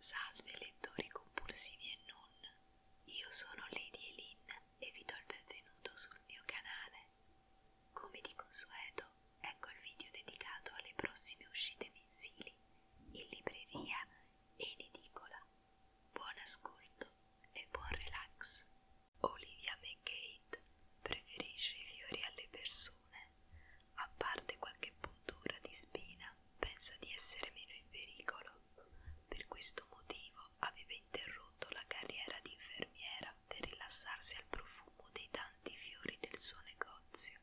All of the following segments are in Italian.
Salve lettori compulsivi e non, io sono Lady Elin e vi do il benvenuto sul mio canale. Come di consueto, ecco il video dedicato alle prossime uscite mensili in libreria e in edicola. Buon ascolto e buon relax. Olivia McGate preferisce i fiori alle persone, a parte qualche puntura di spina, pensa di essere meno in pericolo. Per questo motivo aveva interrotto la carriera di infermiera per rilassarsi al profumo dei tanti fiori del suo negozio.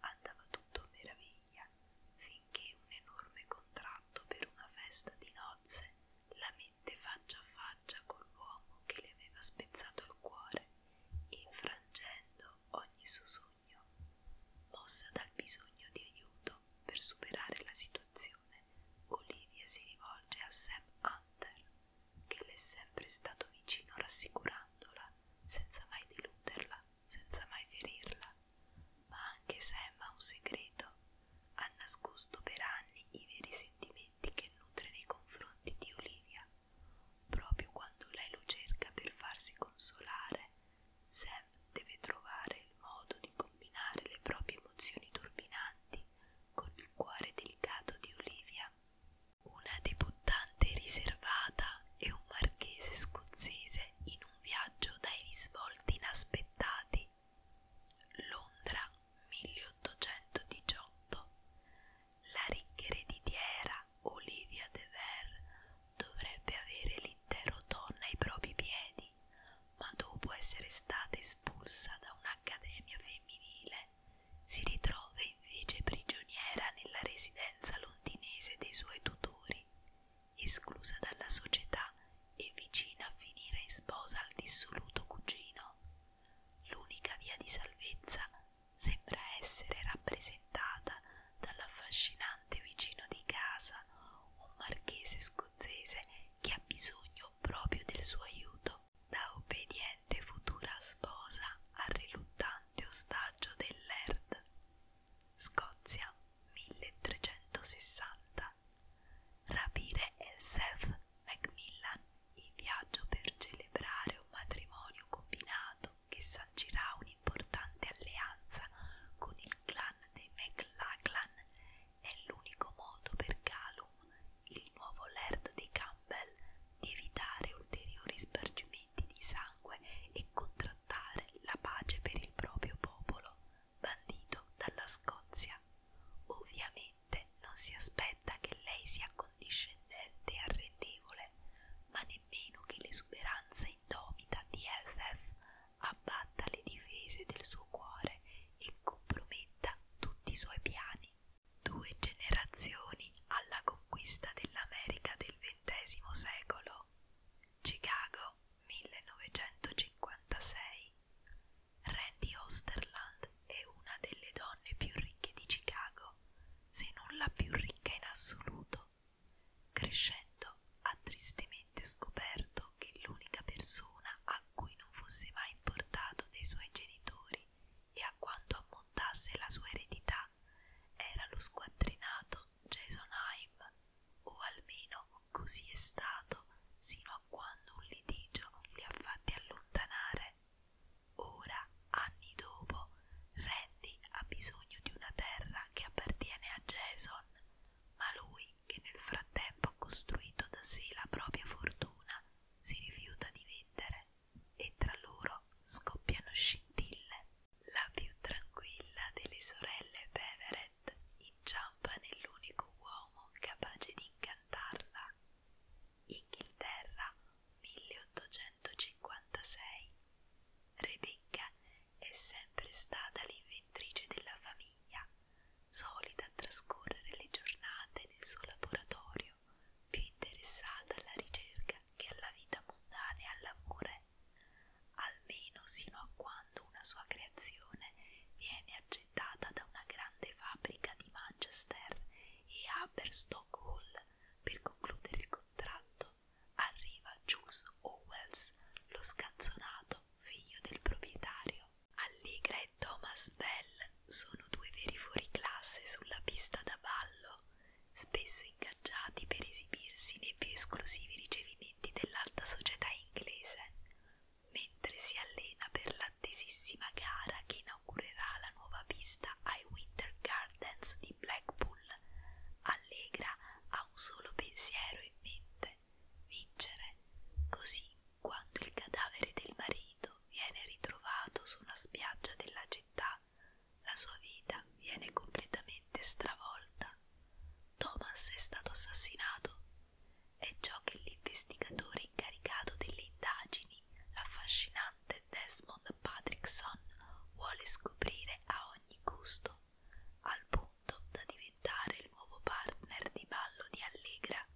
Andava tutto a meraviglia, finché un enorme contratto per una festa di nozze la mette faccia a faccia con l'uomo che le aveva spezzato il cuore, infrangendo ogni suo sogno sogno, mossa dal bisogno di aiuto per superare la situazione, Olivia si rivolge a Sam Hunter, che le è sempre stato vicino rassicurandola, senza mai deluderla, senza mai ferirla. Ma anche Sam ha un segreto, ha nascosto per anni i veri sentimenti che nutre nei confronti di Olivia. Proprio quando lei lo cerca per farsi consolare, Sam deve trovare il modo di combinare le proprie emozioni turbinanti con il cuore delicato di Olivia, una debuttante riservata e un marchese scozzese in un viaggio dai risvolti inaspettati. Londra 1818. La ricca ereditiera Olivia de Verre dovrebbe avere l'intero donna ai propri piedi, ma dopo essere stata espulsa da un'accademia femminile, si ritrova invece prigioniera nella residenza londinese dei suoi tutori, esclusa dalla società e vicina a finire in sposa al dissoluto cugino. L'unica via di salvezza sembra essere rappresentata dall'affascinante vicino di casa, un marchese scozzese che ha bisogno proprio del suo aiuto, da obbediente futura sposa al riluttante ostaggio del Laird. Scozia 1360 Rapire Elseth Macmillan in viaggio per celebrare un matrimonio combinato che sancirà un'importante alleanza con il clan dei McLachlan è l'unico modo per Galum, il nuovo Laird dei Campbell, di evitare ulteriori spargimenti di sangue e contrattare la pace per il proprio popolo, bandito dalla Scozia. Ovviamente non si aspetta che lei sia condiscendente e arrendevole, ma nemmeno che l'esuberanza indomita di Elsef abbatta le difese del suo cuore e comprometta tutti i suoi piani. Due generazioni alla conquista dell'America del XX secolo. Chicago 1956. Randy Osterland è una delle donne più ricche di Chicago, se non la più ricca in assoluto, Crescendo, ha tristemente scoperto che l'unica persona a cui non fosse mai importato dei suoi genitori e a quanto ammontasse la sua eredità era lo squattrinato Jason Haim, o almeno così è stato sino a quando un litigio li ha fatti allontanare. Ora, anni dopo, Red Sandy ha bisogno di una terra che appartiene a Jason, ma lui, che nel frattempo ha costruito da sé la propria fortuna, si rifiuta di vendere e tra loro scoppiano scintille. La più tranquilla delle sorelle Beverett inciampa nell'unico uomo capace di incantarla. Inghilterra 1856 Rebecca è sempre stata l'inventrice della famiglia, solita a trascorrere le giornate nel suo laboratorio, più interessata alla ricerca che alla vita mondana e all'amore, almeno sino a quando una sua creazione viene accettata da una grande fabbrica di Manchester e Aberstock Hall per concludere il contratto arriva Jules Owens, lo scazzonato figlio del proprietario. Allegra e Thomas Bell sono due veri fuoriclasse sulla pista da ballo, spesso ingaggiati per esibirsi nei più esclusivi ricevimenti dell'alta società inglese, mentre si allena per l'attesissima gara che inaugurerà la nuova pista ai Winter Gardens di Blackpool nulla. Allegra ha un solo pensiero in mente: vincere. Così, quando il cadavere del marito viene ritrovato su una spiaggia della città, la sua vita viene completamente stravolta. Thomas è stato assassinato. È ciò che l'investigatore incaricato delle indagini, l'affascinante Desmond Patrickson, vuole scoprire a ogni costo. Giacomo, al punto da diventare il nuovo partner di ballo di Allegra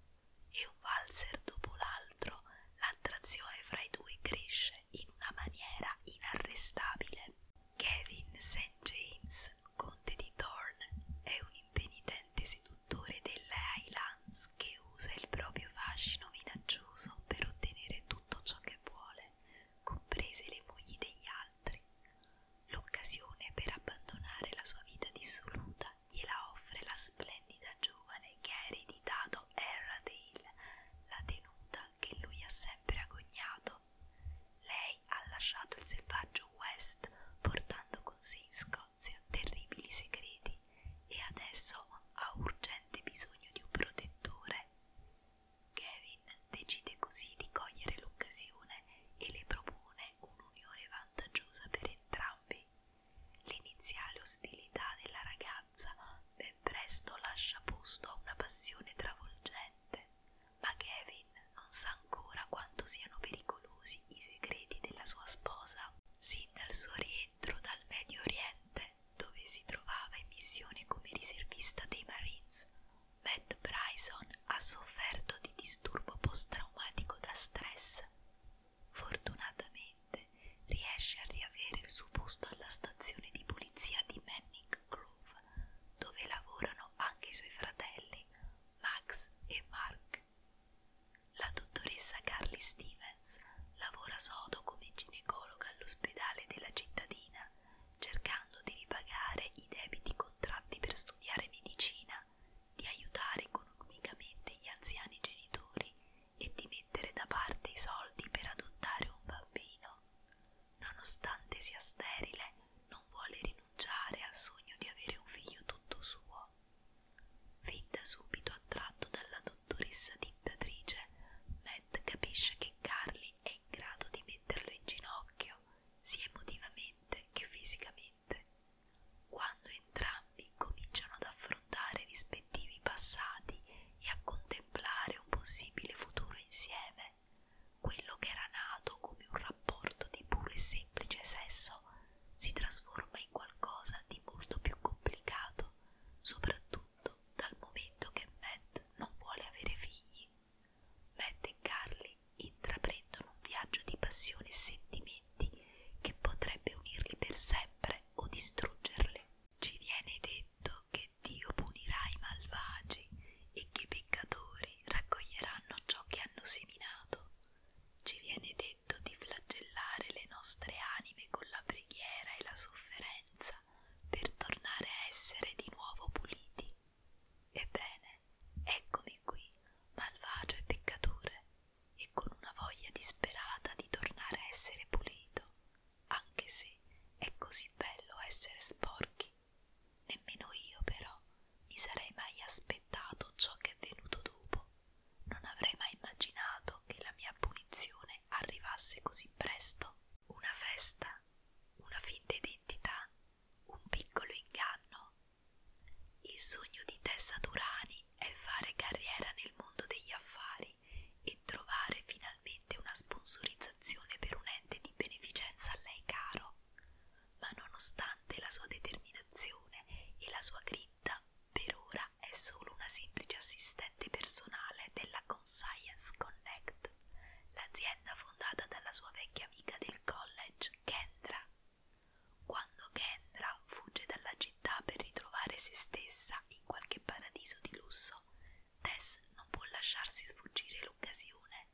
e un valzer dopo l'altro l'attrazione fra i due cresce in una maniera inarrestabile. Kevin St. James, conte di Thorn, è un impenitente seduttore delle Highlands che usa il proprio fascino minaccioso per ottenere tutto ciò che vuole, comprese le mogli degli altri altri. L'occasione per abbandonare la sua vita dissoluta gliela offre la splendida giovane che ha ereditato Herradale, la tenuta che lui ha sempre agognato. Lei ha lasciato il selvaggio West portando con sé in Scozia terribili segreti e adesso ha urgente bisogno di un protettore. Gavin decide così di cogliere l'occasione e le propone un'unione vantaggiosa per entrambi. L'iniziale ostilità della ragazza ben presto lascia posto a una passione travolgente, ma Gavin non sa ancora quanto siano pericolosi i segreti della sua sposa. Sin dal suo rientro dal Medio Oriente, dove si trovava in missione come riservista dei Marines, Matt Bryson ha sofferto di disturbo post-traumatico da stress. Fortunatamente riesce a riavere il suo posto alla stazione di polizia di Manning Grove, dove lavorano anche i suoi fratelli Max e Mark. La dottoressa Carly Stevens lavora sodo come ginecologa all'ospedale della cittadina cercando di ripagare i debiti contratti per studiare medicina, di aiutare economicamente gli anziani genitori e di mettere da parte i soldi per adottare un bambino. Nonostante sia sterile, non vuole rinunciare al sogno di avere un figlio tutto suo. Fin da subito attratto dalla dottoressa dittatrice, Matt capisce che Carly è in grado di metterlo in ginocchio sia emotivamente che fisicamente, quando entrambi cominciano ad affrontare i rispettivi passati e a contemplare un possibile futuro insieme, quello che era nato come un rapporto di puro e semplice sesso si trasforma in qualcosa di molto più complicato, soprattutto dal momento che Matt non vuole avere figli Matt e Carly intraprendono un viaggio di passione e sentimenti che potrebbe unirli per sempre o distruggerli. Ci viene detto che Dio punirà i malvagi e che i peccatori raccoglieranno ciò che hanno seminato. Ci viene detto di flagellare le nostre anime con la preghiera e la sofferenza per tornare a essere di nuovo puliti. Ebbene, eccomi qui, malvagio e peccatore, e con una voglia disperata di tornare a essere pulito, anche se è così bello essere sporchi. Nemmeno io, però, mi sarei mai aspettato ciò che è venuto dopo. Non avrei mai immaginato che la mia punizione arrivasse così presto. Una festa, una finta identità un piccolo inganno. Il sogno di Tessa Turani è fare carriera nel mondo degli affari e trovare finalmente una sponsorizzazione per un ente di beneficenza a lei caro. Ma nonostante la sua determinazione e la sua grinta, per ora è solo una semplice assistente personale della Conscience Connect l'azienda fondata dalla sua vecchia amica del college, Kendra. Quando Kendra fugge dalla città per ritrovare se stessa in qualche paradiso di lusso, Tess non può lasciarsi sfuggire l'occasione.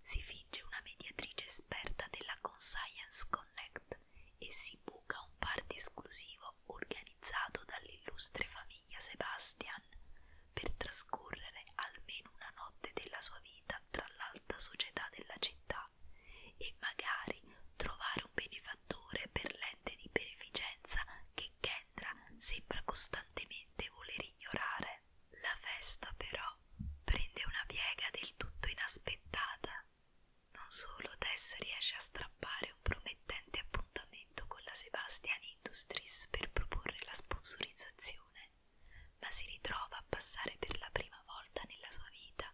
Si finge una mediatrice esperta della Conscience Connect e si buca un party esclusivo organizzato dall'illustre famiglia Sebastian, per trascorrere almeno una notte della sua vita tra l'alta società della città e magari trovare un benefattore per l'ente di beneficenza che Kendra sembra costantemente voler ignorare. La festa però prende una piega del tutto inaspettata. Non solo Tess riesce a strappare un promettente appuntamento con la Sebastian Industries per proporre la sponsorizzazione ma si ritrova a passare per la prima volta nella sua vita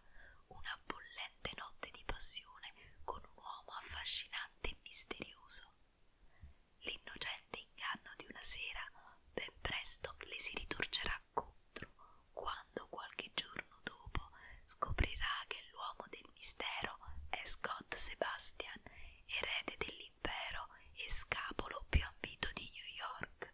una bollente notte di passione con un uomo affascinante e misterioso. L'innocente inganno di una sera ben presto le si ritorcerà contro quando qualche giorno dopo scoprirà che l'uomo del mistero è Scott Sebastian, erede dell'interno impero e scapolo più ambito di New York,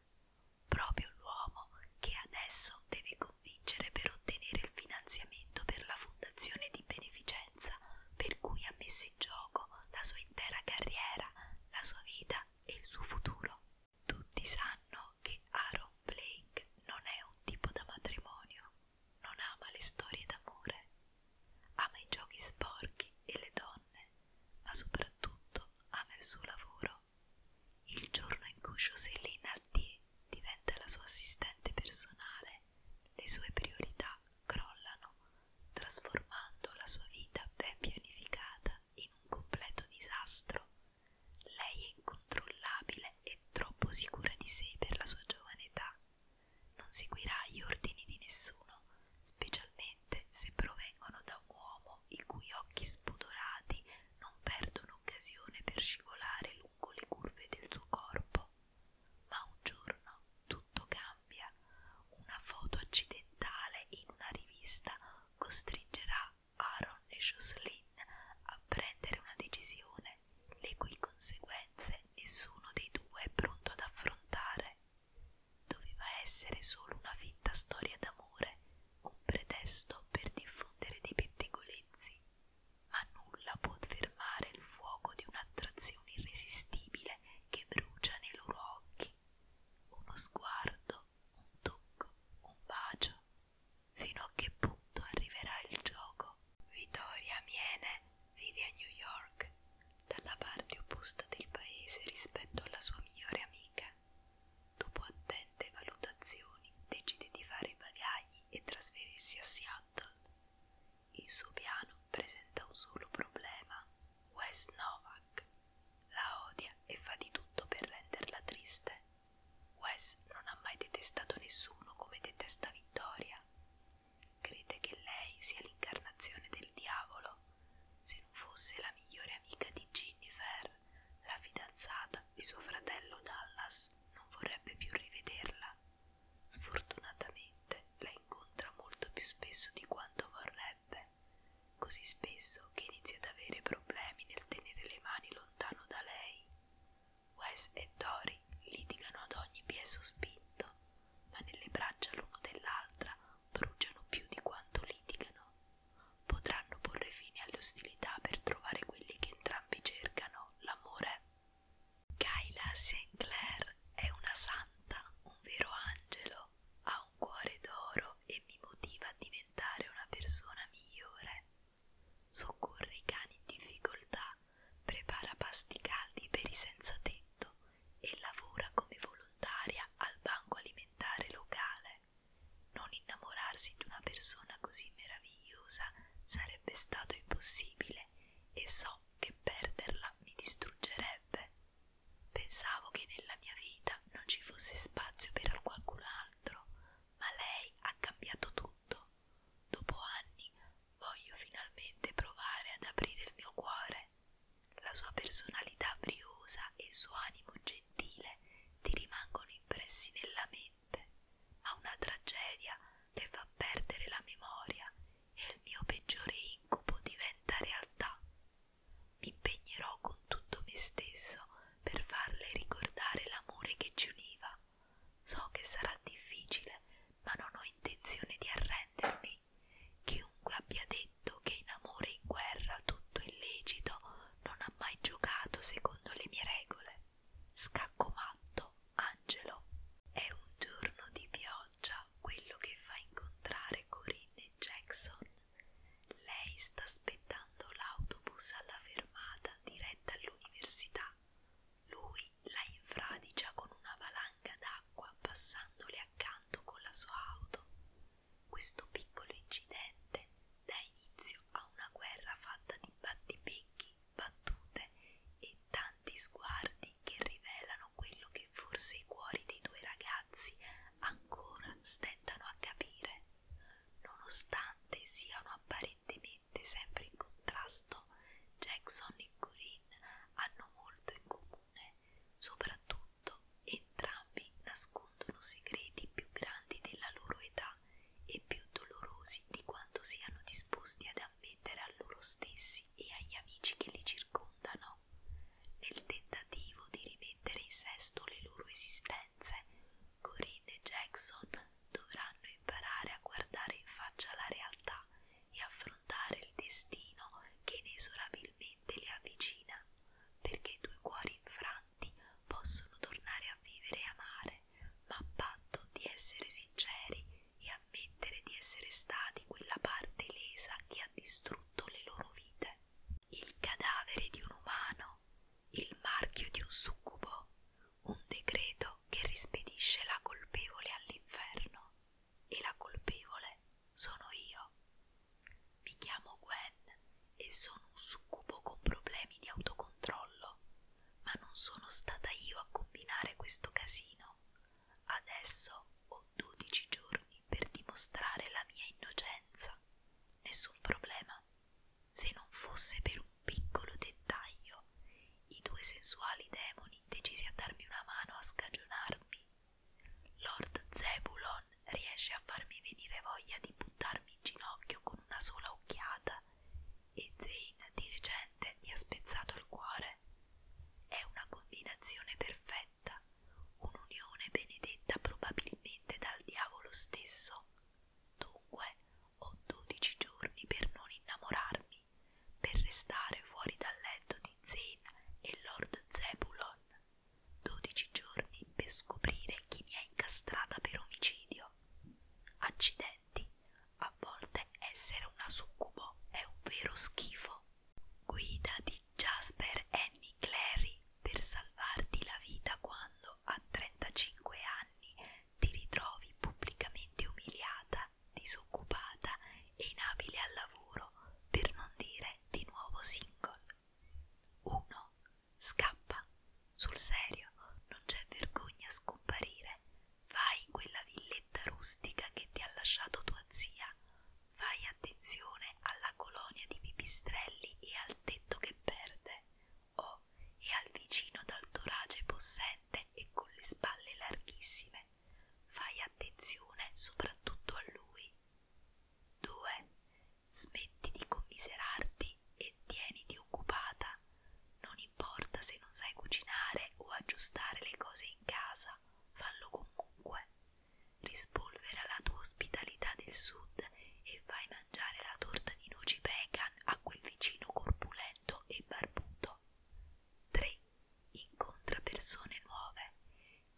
proprio l'uomo che adesso deve convincere per ottenere il finanziamento per la fondazione di beneficenza per cui ha messo in gioco la sua intera carriera, la sua vita e il suo futuro. Tutti sanno che Aaron Blake non è un tipo da matrimonio, non ama le storie d'amore, ama i giochi sporchi e le donne donne, ma soprattutto ama il suo lavoro. Il giorno in cui Jocelyn D diventa la sua assistente personale, le sue priorità crollano, trasformando la sua vita ben pianificata in un completo disastro. Lei è incontrollabile e troppo sicura di sé per la sua giovane età. Non seguirà gli ordini di nessuno, specialmente specialmente se provengono da un uomo i cui occhi spudorati non perdono occasione per scivolare lungo le curve del suo corpo. Ma un giorno tutto cambia. Una foto accidentale in una rivista costringerà Aaron e Jocelyn a prendere una decisione, le cui conseguenze nessuno dei due è pronto ad affrontare doveva essere solo una finta storia d'amore, un pretesto per diffondere dei pettegolezzi, ma nulla può fermare il fuoco di un'attrazione irresistibile che brucia nei loro occhi. Uno sguardo, un tocco, un bacio. Fino a che punto arriverà il gioco? Vittoria Miene vive a New York, dalla parte opposta del paese rispetto alla sua migliore amica. Dopo attente valutazioni decide di fare i bagagli e trasferirsi a Seattle. Il suo piano presenta un solo problema. Wes Novak la odia e fa di tutto per renderla triste. Wes non ha mai detestato nessuno come detesta Vittoria. Crede che lei sia l'incarnazione del diavolo. Se fosse la migliore amica di Jennifer, la fidanzata di suo fratello Dallas non vorrebbe più rivederla. Sfortunatamente la incontra molto più spesso di quanto vorrebbe, così spesso che inizia ad avere problemi nel tenere le mani lontano da lei. Wes e Tori litigano ad ogni piezo spinto, ma nelle braccia l'uno dell'altra bruciano più di quanto litigano. Potranno porre fine alle ostilità per trovare quelli che entrambi cercano, l'amore. Kyla St. Clair è una santa, un vero angelo, ha un cuore d'oro e mi motiva a diventare una persona migliore. Soccorre i cani in difficoltà, prepara pasti caldi per i senza tetto, e lavora come volontaria al banco alimentare locale. Non innamorarsi di una persona così meravigliosa sarebbe stato impossibile e so che perderla mi distruggerebbe. Pensavo che nella mia vita non ci fosse spazio per qualcun altro, ma lei ha cambiato tutto. Dopo anni voglio finalmente provare ad aprire il mio cuore. La sua personalità briosa e il suo animo gentile ti rimangono impressi nella mente, ma una tragedia le fa perdere la memoria e il mio peggiore incubo diventa realtà. Mi impegnerò con tutto me stesso per farle ricordare l'amore che ci univa. So che sarà difficile, ma non ho intenzione di arrendermi. Chiunque abbia detto che in amore e in guerra tutto è lecito non ha mai giocato secondo le mie regole. Scacco matto, Angelo. È un giorno di pioggia quello che fa incontrare Corinne e Jackson. Lei sta aspettando l'autobus alla fermata diretta all'università. Lui la infradigia con una valanga d'acqua passandole accanto con la sua auto. Questo piccolo incidente dà inizio a una guerra fatta di battipecchi, battute e tanti sguardi che rivelano quello che forse i cuori dei due ragazzi ancora stentano a capire. Nonostante siano apparentemente sempre in contrasto, Jackson e Corinne hanno molto in comune comune, soprattutto entrambi nascondono segreti più grandi della loro età e più dolorosi di quanto siano disposti ad ammettere a loro stessi e agli amici che li circondano. Nel tentativo di rimettere in sesto le loro esistenze, Corinne e Jackson dovranno imparare a guardare in faccia la realtà e affrontare il destino che inesorabilmente gentilmente le avvicina perché i due cuori infranti possono tornare a vivere e amare, ma a patto di essere sinceri e ammettere di essere stati quella parte lesa che ha distrutto le loro vite. Il cadavere di un umano, il marchio di un succubo, un decreto che rispedisce la colpevole all'inferno e la colpevole sono io. Mi chiamo Gwen e sono un succubo con problemi di autocontrollo, ma non sono stata io a combinare questo casino. Adesso ho 12 giorni per dimostrare la mia innocenza. Nessun problema. Se non fosse per un piccolo dettaglio, i due sensuali demoni decisi a darmi una mano a scagionarmi Lord Zebulon riesce a farmi venire voglia di buttarmi in ginocchio con una sola occhiata e Zane di recente mi ha spezzato il cuore. È una combinazione perfetta, un'unione benedetta probabilmente dal diavolo stesso. Dunque ho dodici giorni per non innamorarmi, per restare fuori dal letto di Zane e Lord Zebulon dodici giorni per scoprire chi mi ha incastrata per omicidio. Accidenti, a volte essere una succubo è un vero schifo. Guida di Jasper Annie Clary per salvarti la vita quando a 35 anni ti ritrovi pubblicamente umiliata, disoccupata e inabile al lavoro, per non dire di nuovo single. Uno scappa sul serio, non c'è vergogna a scomparire. Vai in quella villetta rustica che ti ha lasciato tua zia. Fai attenzione alla colonia di pipistrelli e al tetto che perde, o oh, e al vicino dal torace possente e con le spalle larghissime. Fai attenzione soprattutto a lui. 2. Smetti di commiserarti e tieniti occupata. Non importa se non sai cucinare o aggiustare le cose in casa, fallo comunque. Rispolvera la tua ospitalità del sud e fai mangiare la torta di noci vegan a quel vicino corpulento e barbuto. 3. Incontra persone nuove.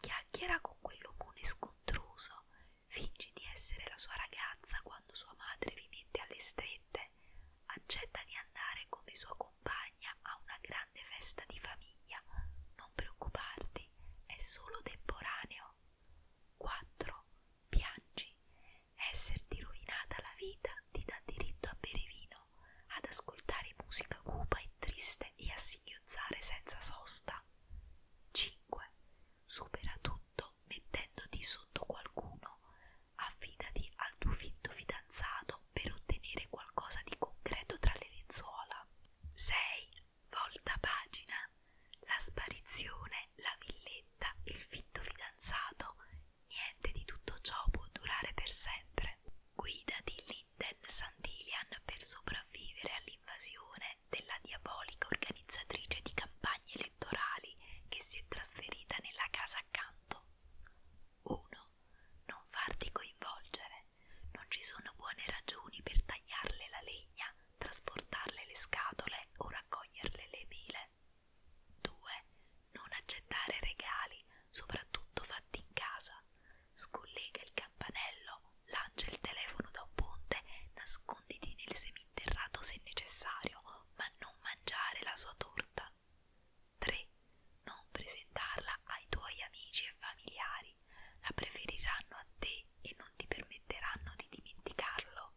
Chiacchiera con quell'omone scontroso fingi di essere la sua ragazza quando sua madre vi mette alle strette, accetta di andare come sua compagna a una grande festa di famiglia, non preoccuparti, è solo temporaneo. 4. Piangi. Esserti rovinata la vita ti dà diritto a bere vino, ad ascoltare musica cupa e triste e a singhiozzare senza sosta. 5. 5. Supera tutto mettendoti sotto qualcuno. Affidati al tuo finto fidanzato per ottenere qualcosa di concreto tra le lenzuola. 6. Volta pagina. La sparizione, la villetta, il fitto fidanzato. Niente di tutto ciò può durare per sempre. Guida di Linden Santilian per sopravvivere all'invasione della diabolica organizzatrice di campagne elettorali che si è trasferita nella casa accanto. 1. Non farti coinvolgere. Non ci sono buone ragioni per tagliarle la legna, trasportarle le scatole o raccoglierle le mele. 2. Non accettare regali, soprattutto fatti in casa. Scollega il campanello uomo lancia il telefono da un ponte, nasconditi nel seminterrato se necessario, ma non mangiare la sua torta. 3. Non presentarla ai tuoi amici e familiari, la preferiranno a te e non ti permetteranno di dimenticarlo.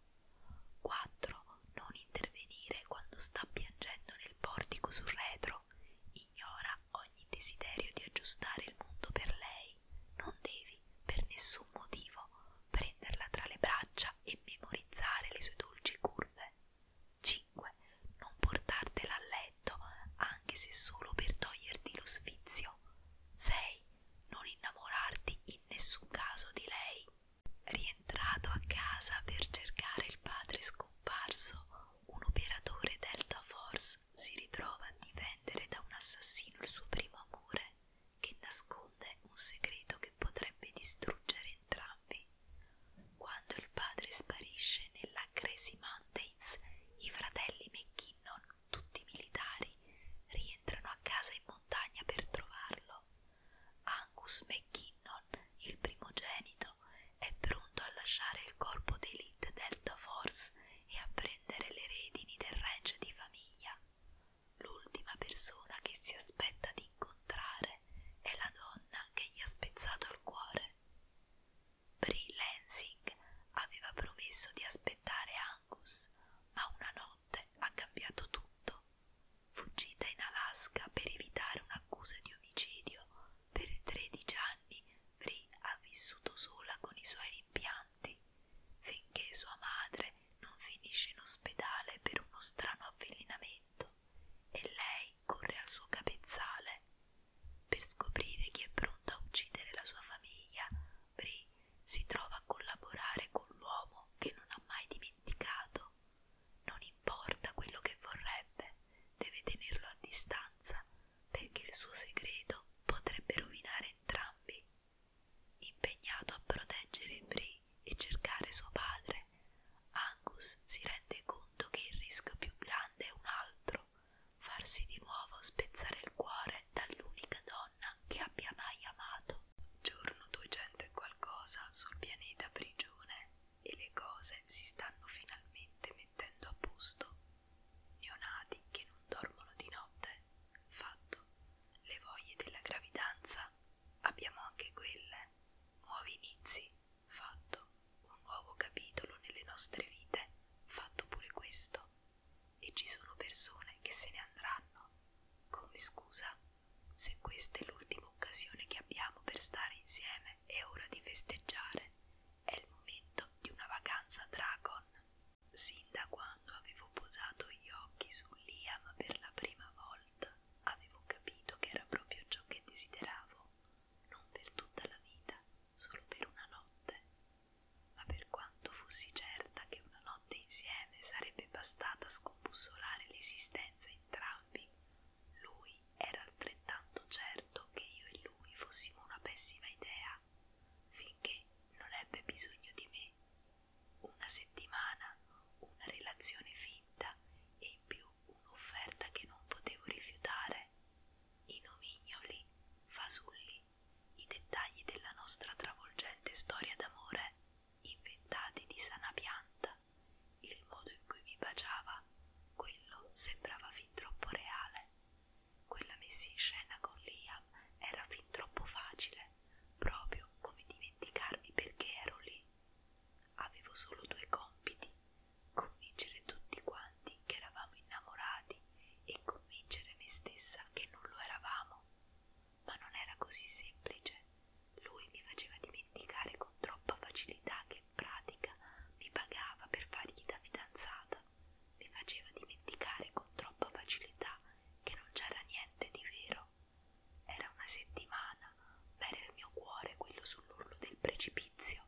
4. Non intervenire quando sta piangendo nel portico sul retro, ignora ogni desiderio di aggiustare il mondo per lei non devi per nessun motivo prenderla tra le braccia e memorizzare le sue dolci curve. 5. Non portartela a letto anche se solo per toglierti lo sfizio. 6. Non innamorarti in nessun caso di lei. Rientrato a casa per cercare il padre scomparso, un operatore Delta Force Thomas si ritrova a difendere da un assassino il suo primo amore, che nasconde un segreto che potrebbe distruggere entrambi. Quando il padre sparisce nella Crazy Mountains, i fratelli McKinnon, tutti militari, rientrano a casa in montagna per trovarlo. Angus McKinnon, il primogenito, è pronto a lasciare il corpo d'elite Delta Force e a prendere le redini del ranch di famiglia. L'ultima persona che si aspetta di incontrare è la donna che gli ha spezzato il cuore. Brie Lansing aveva promesso di aspettare Angus, ma una notte ha cambiato tutto. Fuggita in Alaska per evitare un'accusa di omicidio, per 13 anni Brie ha vissuto sola con i suoi rimpianti finché sua madre non finisce in ospedale per uno strano avvelenamento e lei corre al suo capezzale per scoprire chi è pronto a uccidere la sua famiglia. Bri si trova a collaborare con l'uomo che non ha mai dimenticato. Non importa quello che vorrebbe, deve tenerlo a distanza perché il suo segreto potrebbe rovinare entrambi. Impegnato a proteggere Bree e cercare suo padre, Angus si rende conto che il rischio più grande è un altro, farsi di nuovo spezzare il cuore dall'unica donna che abbia mai amato. Giorno 200 e qualcosa sul pianeta prigione e le cose si stanno finalmente mettendo a posto neonati che non dormono di notte, fatto, le voglie della gravidanza, abbiamo anche quelle, nuovi inizi, fatto, un nuovo capitolo nelle nostre vite, fatto pure questo, e ci sono persone che se ne andranno, come scusa, se questa è l'ultima occasione che abbiamo per stare insieme, è ora di festeggiare. È il momento di una vacanza Dragon. Sin da quando avevo posato gli occhi su Liam per la prima volta, avevo capito che era proprio ciò che desideravo, non per tutta la vita, solo per una notte, ma per quanto fossi certa che una notte insieme sarebbe bastata a scombussolare l'esistenza entrambi, lui era altrettanto certo che io e lui fossimo una pessima idea finché non ebbe bisogno di me. Una settimana, una relazione finta e in più un'offerta che non potevo rifiutare. Inomignoli, fasulli, i dettagli della nostra travolgente storia d'amore, inventati di sana pianta, il modo in cui mi baciava, quello sembrava fin troppo reale. Quella messa in scena con Liam era fin troppo facile, proprio come dimenticarmi perché ero lì. Avevo solo due compiti, convincere tutti quanti che eravamo innamorati e convincere me stessa che non lo eravamo. Ma non era così semplice. Lui mi faceva dimenticare con troppa facilità che in pratica mi pagava per fargli da fidanzata. Mi faceva dimenticare con troppa facilità che non c'era niente di vero. Era una settimana, ma era il mio cuore quello sull'orlo del precipizio.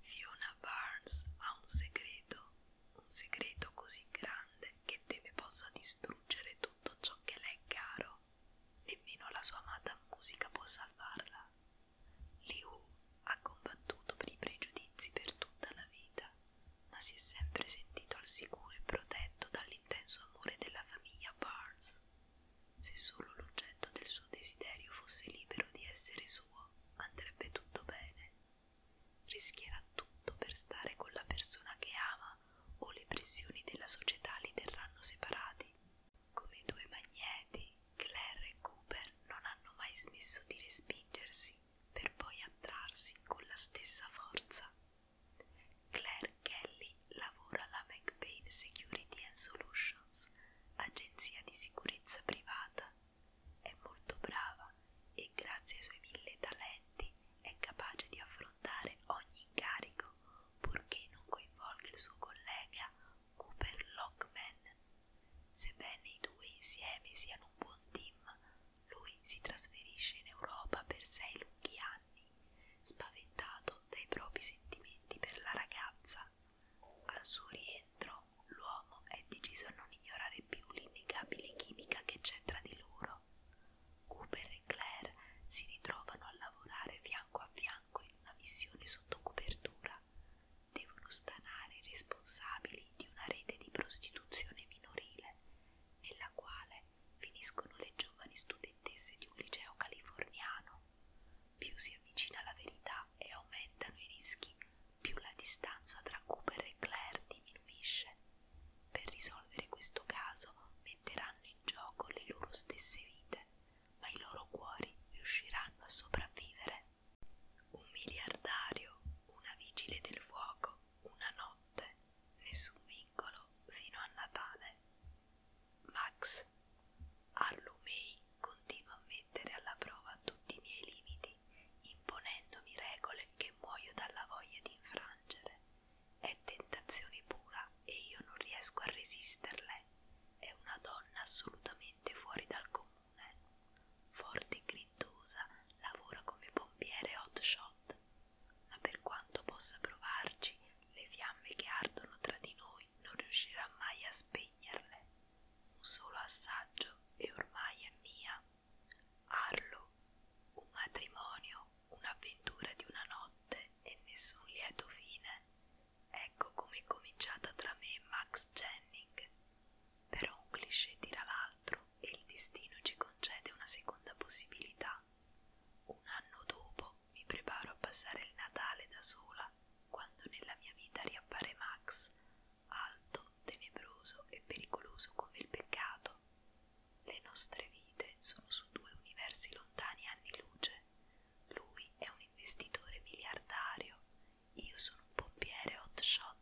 Fiona Barnes ha un segreto, un segreto così grande che deve possa distruggere tutto ciò che le è caro. Nemmeno la sua amata musica può salvarla. Liu ha combattuto per i pregiudizi per tutta la vita ma si è sempre sentito al sicuro e protetto dall'intenso amore della famiglia Barnes. Se solo l'oggetto del suo desiderio fosse libero di essere suo, andrebbe tutto bene. Rischierà tutto per stare con la persona che ama o le pressioni della società li terranno separati. Come due magneti, Claire e Cooper non hanno mai smesso di respingersi per poi attrarsi con la stessa forza. Claire Kelly lavora alla McBain Security and Solutions, agenzia di sicurezza privata. È molto brava e grazie ai suoi mille talenti è capace di affrontare ogni incarico purché non coinvolga il suo collega Cooper Lockman. Sebbene i due insieme siano un buon team, lui si trasferisce in Europa per sei lunghi anni, spaventato dai propri sentimenti per la ragazza. Al suo rientro, l'uomo è deciso a non ignorare più l'innegabile chimica che c'è tra di loro. Cooper e Claire si ritrovano a lavorare fianco a fianco in una missione sotto copertura. Devono stanare i responsabili di una rete di prostituzione minorile nella quale finiscono le giovani studentesse di un liceo californiano. Più si avvicina la verità e aumentano i rischi, più la distanza tra Cooper e Claire diminuisce. Per risolvere questo caso metteranno in gioco le loro stesse vite, ma i loro cuori riusciranno a sopravvivere. Un miliardario, una vigile del fuoco una notte, nessun vincolo fino a Natale. Max Allumei continua a mettere alla prova tutti i miei limiti, imponendomi regole che muoio dalla voglia di infrangere. È tentazione pura e io non riesco a resisterle. È una donna assolutamente fuori dal comune. Forti grida talentuosa, lavora come pompiere hot shot, ma per quanto possa provarci, le fiamme che ardono tra di noi non riuscirà mai a spegnerle. Un solo assaggio e ormai è mia. Arlo, un matrimonio, un'avventura di una notte e nessun lieto fine. Ecco com'è cominciata tra me e Max Jennings però un cliché tira l'altro e il destino ci concede una seconda possibilità. Un anno dopo mi preparo a passare il Natale da sola quando nella mia vita riappare Max, alto, tenebroso e pericoloso come il peccato. Le nostre vite sono su due universi lontani anni luce. Lui è un investitore miliardario, io sono un pompiere hot shot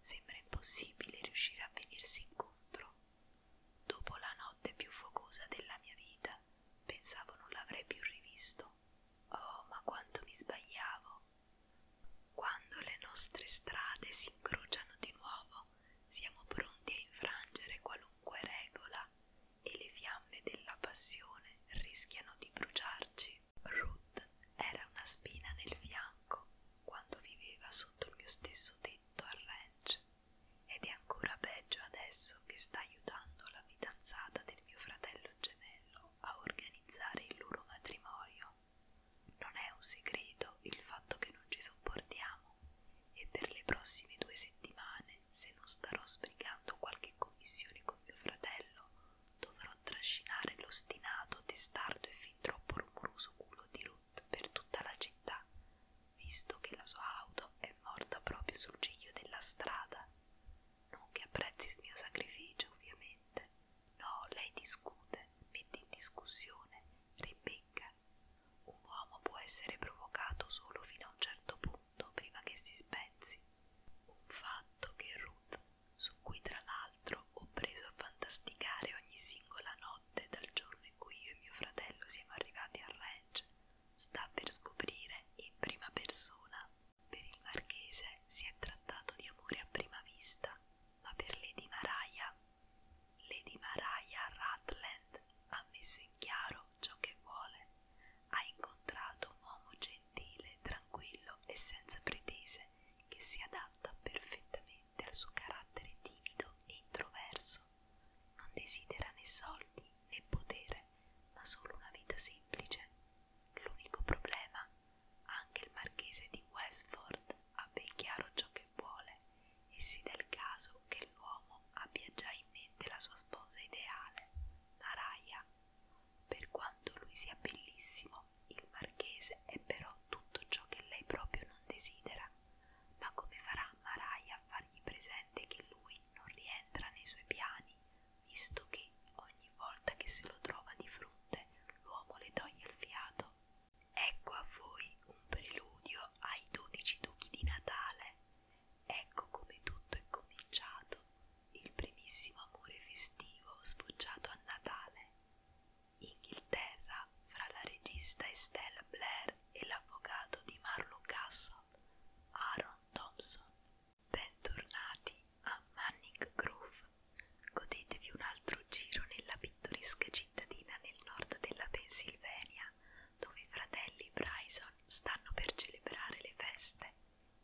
sembra impossibile riuscire a venirsi incontro. Dopo la notte più focosa della mia vita, pensavo non l'avrei più rivisto. Oh, ma quanto mi sbagliavo! Quando le nostre strade si incrociano di nuovo, siamo pronti a infrangere qualunque regola e le fiamme della passione rischiano di bruciarci. Ruth era una spina nel fianco quando viveva sotto il mio stesso tetto al ranch ed è ancora peggio adesso che sta aiutando la fidanzata del mio fratello gemello a organizzare il loro matrimonio. Non è un segreto il fatto che non ci sopportiamo e per le prossime due settimane, se non starò sbrigando qualche commissione con mio fratello, dovrò trascinare l'ostinato, testardo e fin troppo rumoroso culo di lui Scott per tutta la città, visto che la sua auto è morta proprio sul ciglio della strada. Non che apprezzi il mio sacrificio, ovviamente. No, lei discute, mette in discussione, rimbecca. Un uomo può essere provocato solo fino a un certo punto prima che si spezzi. Un fatto che Ruth, su cui tra l'altro ho preso a fantasticare ogni singola notte, notte dal giorno in cui io e mio fratello siamo arrivati al ranch sta per scoprire in prima persona. Per il marchese si è trattato di amore a prima vista, ma per Lady Maraia, Lady Maraia Ratland ha messo in chiaro ciò che vuole. Ha incontrato un uomo gentile, tranquillo e senza pretese che si adatta perfettamente del suo carattere timido e introverso, non desidera né soldi né potere, ma solo una vita semplice. L'unico problema, anche il marchese di Westford ha ben chiaro ciò che vuole e si dà il caso che l'uomo abbia già in mente la sua sposa ideale, la Raya. Per quanto lui sia bellissimo, il marchese è però tutto ciò che lei proprio non desidera, ma come farà Maraia a fargli presente che lui non rientra nei suoi piani, visto che ogni volta che se lo trova di fronte l'uomo le toglie il fiato? Ecco a voi un preludio ai dodici duchi di Natale. Ecco come tutto è cominciato, il primissimo amore festivo sfoggiato a Natale. Inghilterra fra la regista Estelle Blair e l'avvocato di Marlowe Castle, Aaron Thompson. Bentornati a Manning Grove. Godetevi un altro giro nella pittoresca cittadina nel nord della Pennsylvania, dove i fratelli Bryson stanno per celebrare le feste.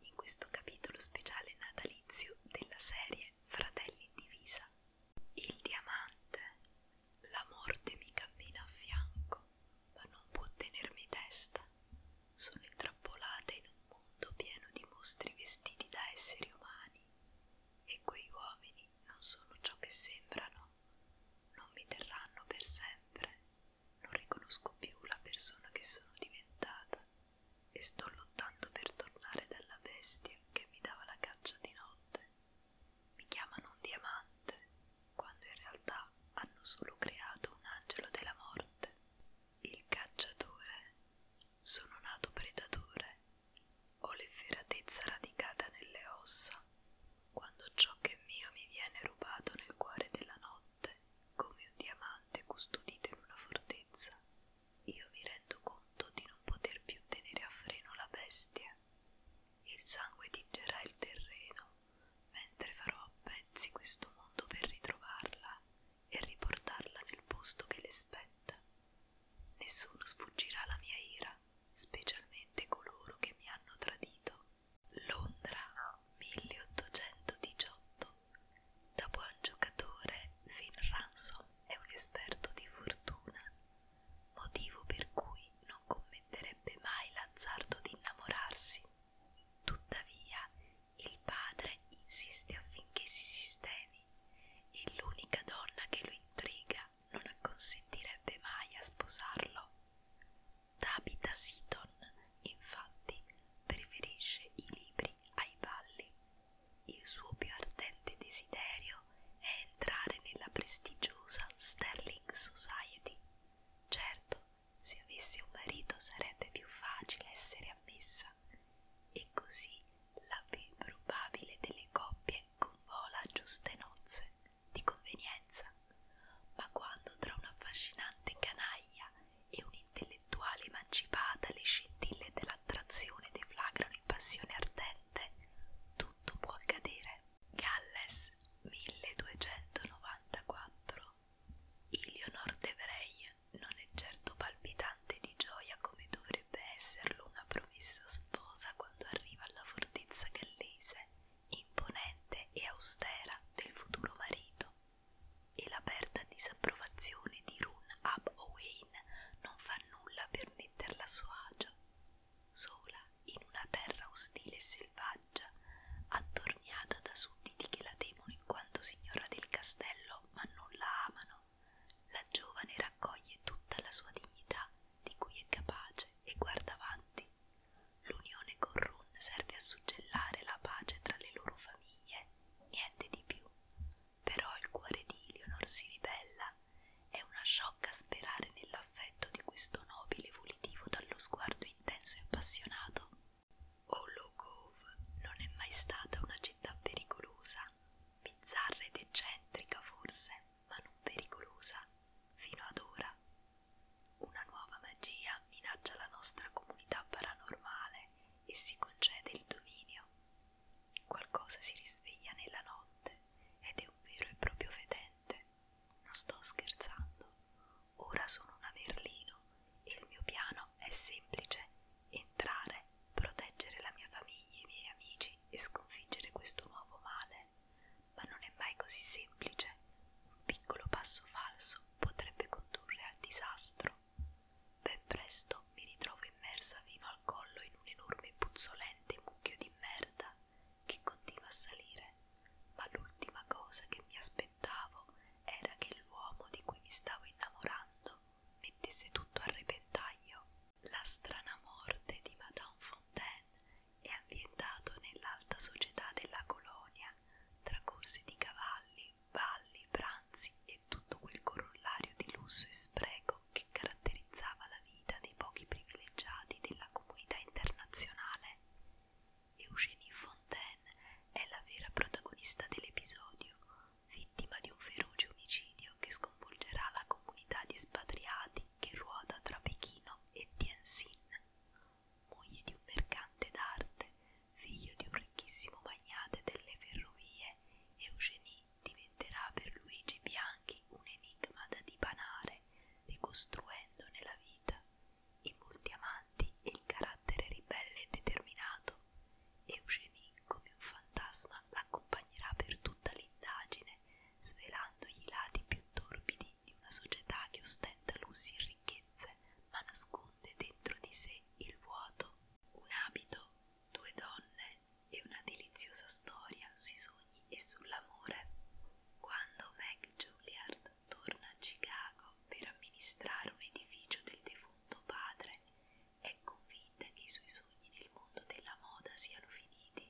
In questo capitolo speciale natalizio della serie Fratelli in divisa il diamante, la morte mi cammina a fianco, ma non può tenermi testa. Sono intrappolata in un mondo pieno di mostri vestiti da esseri umani, e quei uomini non sono ciò che sembrano, non mi terranno per sempre, non riconosco più la persona che sono diventata, e sto lottando per tornare dalla bestia che mi dava la caccia di notte. Mi chiamano un diamante quando in realtà hanno solo creato un angelo della morte. Il cacciatore, sono nato predatore, ho l'efferatezza radicata nelle ossa. Quando ciò che è mio mi viene rubato nel cuore della notte, come un diamante custodito in una fortezza, io mi rendo conto di non poter più tenere a freno la bestia. Il sangue tingerà il terreno, mentre farò a pezzi questo mondo per ritrovarla e riportarla nel posto che le spetta. Nessuno sfuggirà alla mia ira, specialmente coloro che mi hanno tradito. Londra 1818. Da buon giocatore, Finn Ransom è un esperto di fortuna motivo per cui non commetterebbe mai l'azzardo di innamorarsi. Tuttavia, il padre insiste affinché si sistemi e l'unica donna che lo intriga non acconsentirebbe mai a sposarlo. Tabitha Seaton, infatti, preferisce i libri ai balli. Il suo più ardente desiderio è entrare nella prestigiosa Sterling Society. Certo, se avesse un marito sarebbe più facile essere ammessa, e così la più improbabile delle coppie convola a giuste nozze, di convenienza. Ma quando tra un'affascinante canaglia e un'intellettuale emancipata le scintille dell'attrazione deflagrano in passione ardente, 7 tutto può accadere. Galles 1294 Ilionor de Vrij non è certo palpitante di gioia come dovrebbe esserlo una promessa sposa quando arriva alla fortezza gallese, imponente e austera del futuro marito, e l'aperta disapprovazione di Run Ab Owain non fa nulla per metterla a suo agio sola in una terra ostile e selvaggia, attorniata da sudditi che la temono in quanto signora del castello, ma non la amano, la giovane raccoglie tutta la sua dignità di cui è capace e guarda avanti. L'unione con Run serve a suggellare la pace tra le loro famiglie, niente di più. Però il cuore di Ilionor si ribella è una sciocca sperare nell'affetto di questo nobile volitivo dallo sguardo intenso e appassionato. Hollow Cove non è mai stata una città pericolosa, bizzarra ed eccentrica forse, ma non pericolosa, fino ad ora. Una nuova magia minaccia la nostra comunità paranormale e si concede il dominio, Qualcosa si risveglia nella notte ed è un vero e proprio fedente. Non sto scherzando. Ora sono una Merlino e il mio piano è semplice: entrare, proteggere la mia famiglia e i miei amici e sconfiggere questo nuovo male. Ma non è mai così semplice. Un piccolo passo falso potrebbe condurre al disastro. Ben presto mi ritrovo immersa fino al collo in un enorme e puzzolente mucchio di merda che continua a salire, ma l'ultima cosa che mi aspettavo era che l'uomo di cui mi stavo innamorando mettesse tutto a repentaglio. La strana morte di Madame Fontaine è ambientato nell'alta società della colonia, tra corse di cavalli, balli, pranzi e tutto quel corollario di lusso e spreco modo che caratterizzava la vita dei pochi privilegiati della comunità internazionale. Eugénie Fontaine è la vera protagonista dell'episodio, vittima di un feroce omicidio che sconvolgerà la comunità di espatriati che ruota tra Pechino e Tianjin. Moglie di un mercante d'arte, figlio di un ricchissimo magnate delle ferrovie, Eugénie diventerà per Luigi Bianchi un enigma da dipanare, ricostruendone la vita, i molti amanti e il carattere ribelle e determinato. Eugenie, come un fantasma, l'accompagnerà per tutta l'indagine, svelandogli i lati più torbidi di una società che ostenta lussi e ricchezze, ma nasconde dentro di sé il vuoto. Un abito, due donne, e una deliziosa storia sui sogni e sull'amore. Quando Meg Juilliard torna a Chicago per amministrare un edificio del defunto padre, è convinta che i suoi sogni nel mondo della moda siano finiti.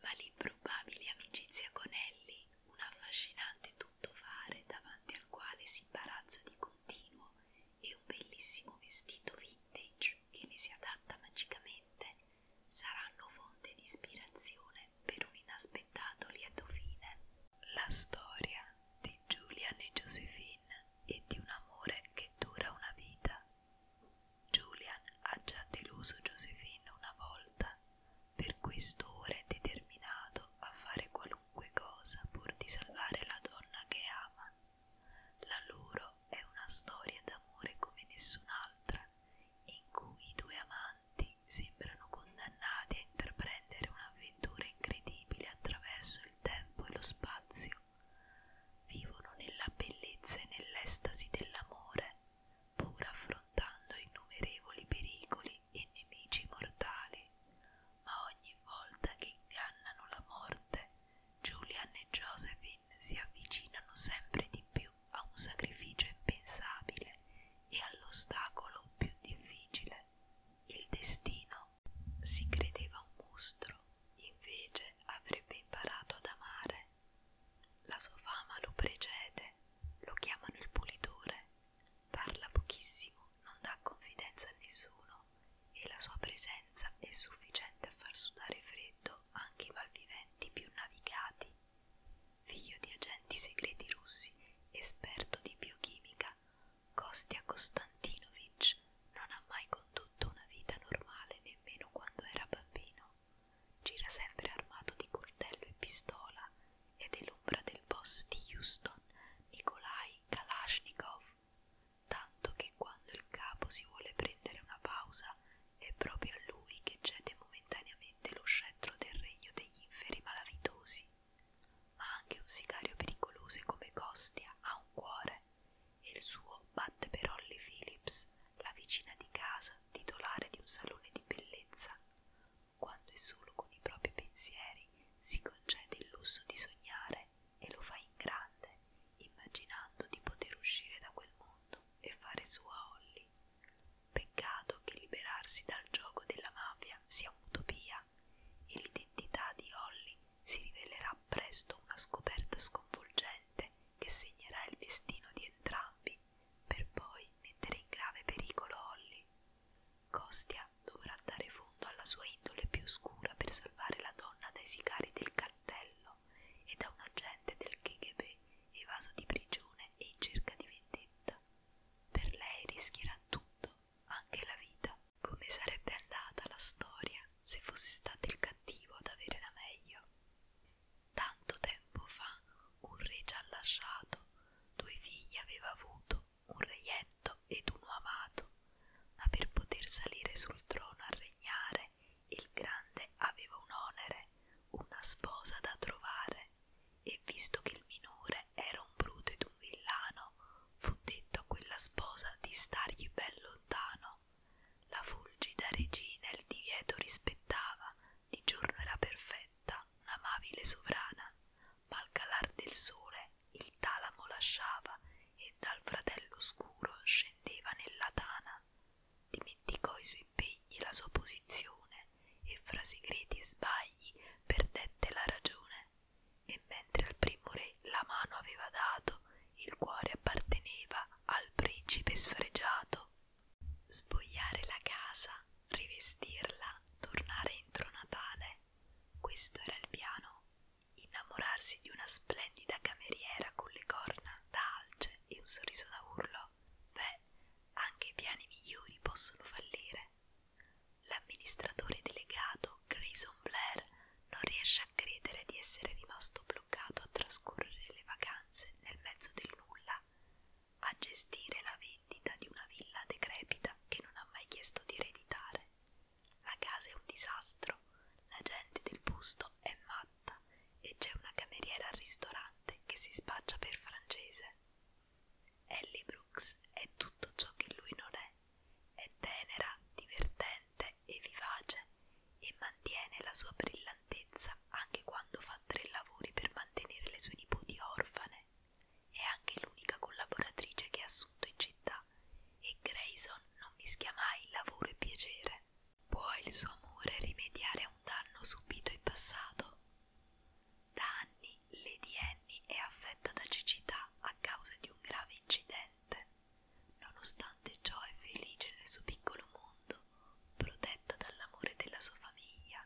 Ma l'improbabile amicizia con Ellie, un affascinante tuttofare davanti al quale si imbarazza di continuo, e un bellissimo vestito vintage che le si adatta magicamente, saranno fonte di ispirazione per un inaspettato lieto fine. La storia di Julian e Josephine e di un amore che dura una vita. Julian ha già deluso Josephine una volta, per questo ora è determinato a fare qualunque cosa pur di salvare la donna che ama. La loro è una storia d'amore come nessun'altra, in cui i due amanti sembrano condannati a intraprendere un'avventura incredibile attraverso il tempo e lo spazio. Vivono nella bellezza e nell'estasi dell'amore, pur affrontando innumerevoli pericoli e nemici mortali, ma ogni volta che ingannano la morte Julian e Josephine si avvicinano sempre di più a un sacrificio impensabile e all'ostacolo più difficile, il destino. Si credeva un mostro, invece avrebbe imparato ad amare. La sua fama lo precede, lo chiamano il pulitore, parla pochissimo, non dà confidenza a nessuno e la sua presenza è sufficiente a far sudare freddo anche i malviventi continenti più navigati. Figlio di agenti segreti russi, esperto di biochimica, Kostya Konstantinovich non ha mai condotto una vita normale nemmeno quando era bambino. Gira sempre armato di coltello e pistola ed è l'ombra del boss di Houston, Nikolai Kalashnikov, tanto che quando il capo si vuole prendere una pausa è proprio a lui che cede momentaneamente lo scettro del regno degli inferi malavitosi. Ma anche un sicario pericoloso come Costia ha un cuore, e il suo batte per Holly Phillips, la vicina di casa, titolare di un salone di bellezza, quando è solo con i propri pensieri si concede il lusso di sognare e lo fa in grande immaginando di poter uscire da quel mondo e fare sua Holly. Peccato che liberarsi dal gioco della mafia sia un'utopia e l'identità di Holly si rivelerà presto una scoperta sconvolgente che segnerà il destino di entrambi per poi mettere in grave pericolo Holly. Costia dovrà dare fondo alla sua indole più oscura per salvare la donna dai sicari del cartello e da un agente del KGB evaso di prigione e in cerca di vendetta. Per lei rischierà tutto, anche la vita. Come sarebbe andata la storia se fosse stato il cattivo ad avere la meglio? Tanto tempo fa un re ci ha lasciato, due figli aveva avuto, un reietto ed uno amato, ma per poter salire sul trono a regnare il grande aveva un onere, una sposa da trovare, e visto che il minore era un bruto ed un villano, fu detto a quella sposa di stargli ben lontano. La fulgida regina il divieto rispettava, di giorno era perfetta, un'amabile sovrana, ma al calar del sole il talamo lasciava e dal fratello oscuro scendeva nella tana. Dimenticò i suoi impegni e la sua posizione e fra segreti e sbagli perdette la ragione. E mentre al primo re la mano aveva dato, il cuore apparteneva al principe sfregiato. Spogliare la casa, rivestirla, tornare entro Natale. Questo era il piano. Innamorarsi di una splendida cameriera con le corna da alce e un sorriso da urlo però, beh, anche i piani migliori possono fallire. L'amministratore delegato Grayson Blair non riesce a credere di essere rimasto bloccato a trascorrere le vacanze nel mezzo del nulla, a gestire la vendita di una villa decrepita che non ha mai chiesto di ereditare. La casa è un disastro, la gente del posto è matta fatta e c'è una cameriera al ristorante che si spaccia per francese. Ellie Brooks è tutto ciò che lui non è. È tenera, divertente e vivace e mantiene la sua brillantezza anche quando fa tre lavori per mantenere le sue nipoti orfane. È anche l'unica collaboratrice che ha assunto in città e Grayson non mischia mai lavoro e piacere. Può il suo amore rimediare a un danno subito in passato? Da anni Lady Annie è affetta da cecità a causa di un grave incidente. Nonostante ciò è felice nel suo piccolo mondo, protetta dall'amore della sua famiglia.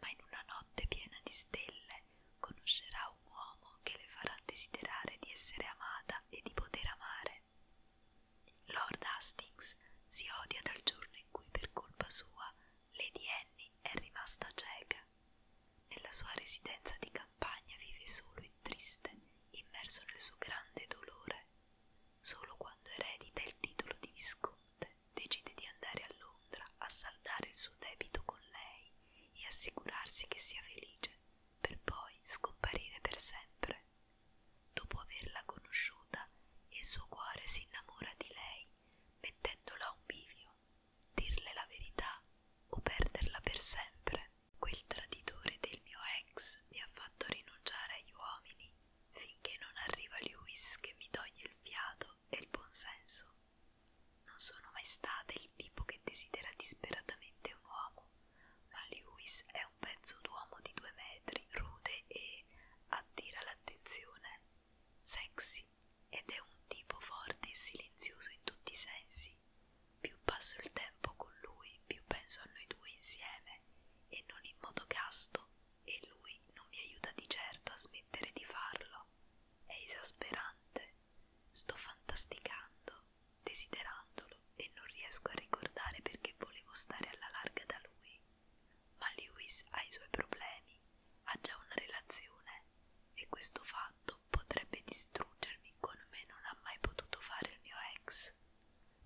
Ma in una notte piena di stelle conoscerà un uomo che le farà desiderare di essere amata e di poter amare caffè. Lord Hastings si odia dal giorno in cui per colpa sua Lady Annie è rimasta cieca. Nella sua residenza di campagna vive solo e triste, immerso nel suo grande dolore. Solo quando eredita il titolo di visconte decide di andare a Londra a saldare il suo debito con lei e assicurarsi che sia felice, per poi scomparire per sempre. Dopo averla conosciuta, il suo cuore si innamora di lei, mettendola a un bivio, dirle la verità o perderla per sempre. Quel traditore del mio ex mi ha fatto rinunciare agli uomini finché non arriva Lewis che mi toglie il fiato e il buonsenso. Non sono mai stata il tipo che desidera disperatamente un uomo, ma Lewis è un pezzo d'uomo di due metri, rude e che attira l'attenzione, sexy ed è un tipo forte e silenzioso in tutti i sensi. Più passo il tempo con lui, più penso a noi due insieme e non in modo casto e lui non mi aiuta di certo a smettere di farlo. È esasperante. Sto fantasticando, desiderandolo e non riesco a ricordare perché volevo stare alla larga da lui. Ma Lewis ha i suoi problemi, ha già una relazione e questo fatto potrebbe distruggermi come non ha mai potuto fare il mio ex.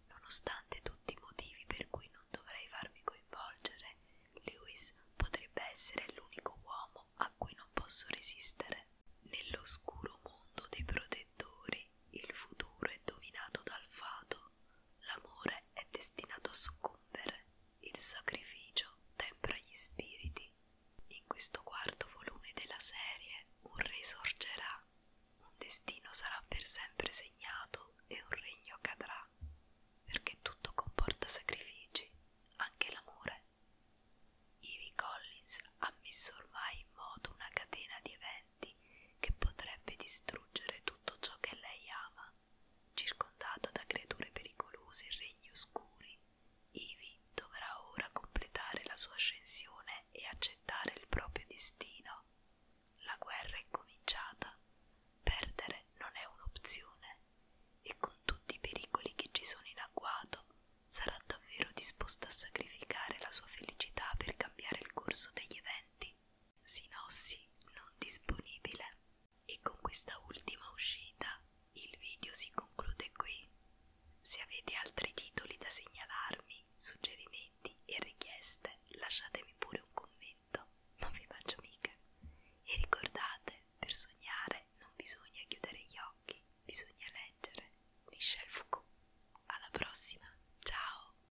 Nonostante tutti i motivi per cui non dovrei farmi coinvolgere, Lewis potrebbe essere l'unico uomo a cui non posso resistere. Nell'oscuro mondo dei protettori il futuro è dominato dal fato, l'amore è destinato a soccombere, il sacrificio tempra gli spiriti. In questo quarto volume della serie un re sorgerà, un destino sarà per sempre segnato e un regno cadrà, perché tutto comporta sacrifici, anche l'amore. Ivy Collins ha messo ormai in moto una catena di eventi potenti che potrebbe distruggere tutto ciò che lei ama, circondata da creature pericolose e regni oscuri. Ivi dovrà ora completare la sua ascensione e accettare il proprio destino. La guerra è cominciata, perdere non è un'opzione, e con tutti i pericoli che ci sono in agguato sarà davvero disposta a sacrificare la sua felicità per cambiare il corso degli eventi. Sinossi non disponibile. E con questa ultima uscita il video si conclude qui. Se avete altri titoli da segnalarmi, suggerimenti e richieste, lasciatemi pure un commento, non vi faccio mica. E ricordate, per sognare non bisogna chiudere gli occhi, bisogna leggere. Michel Foucault. Alla prossima, ciao!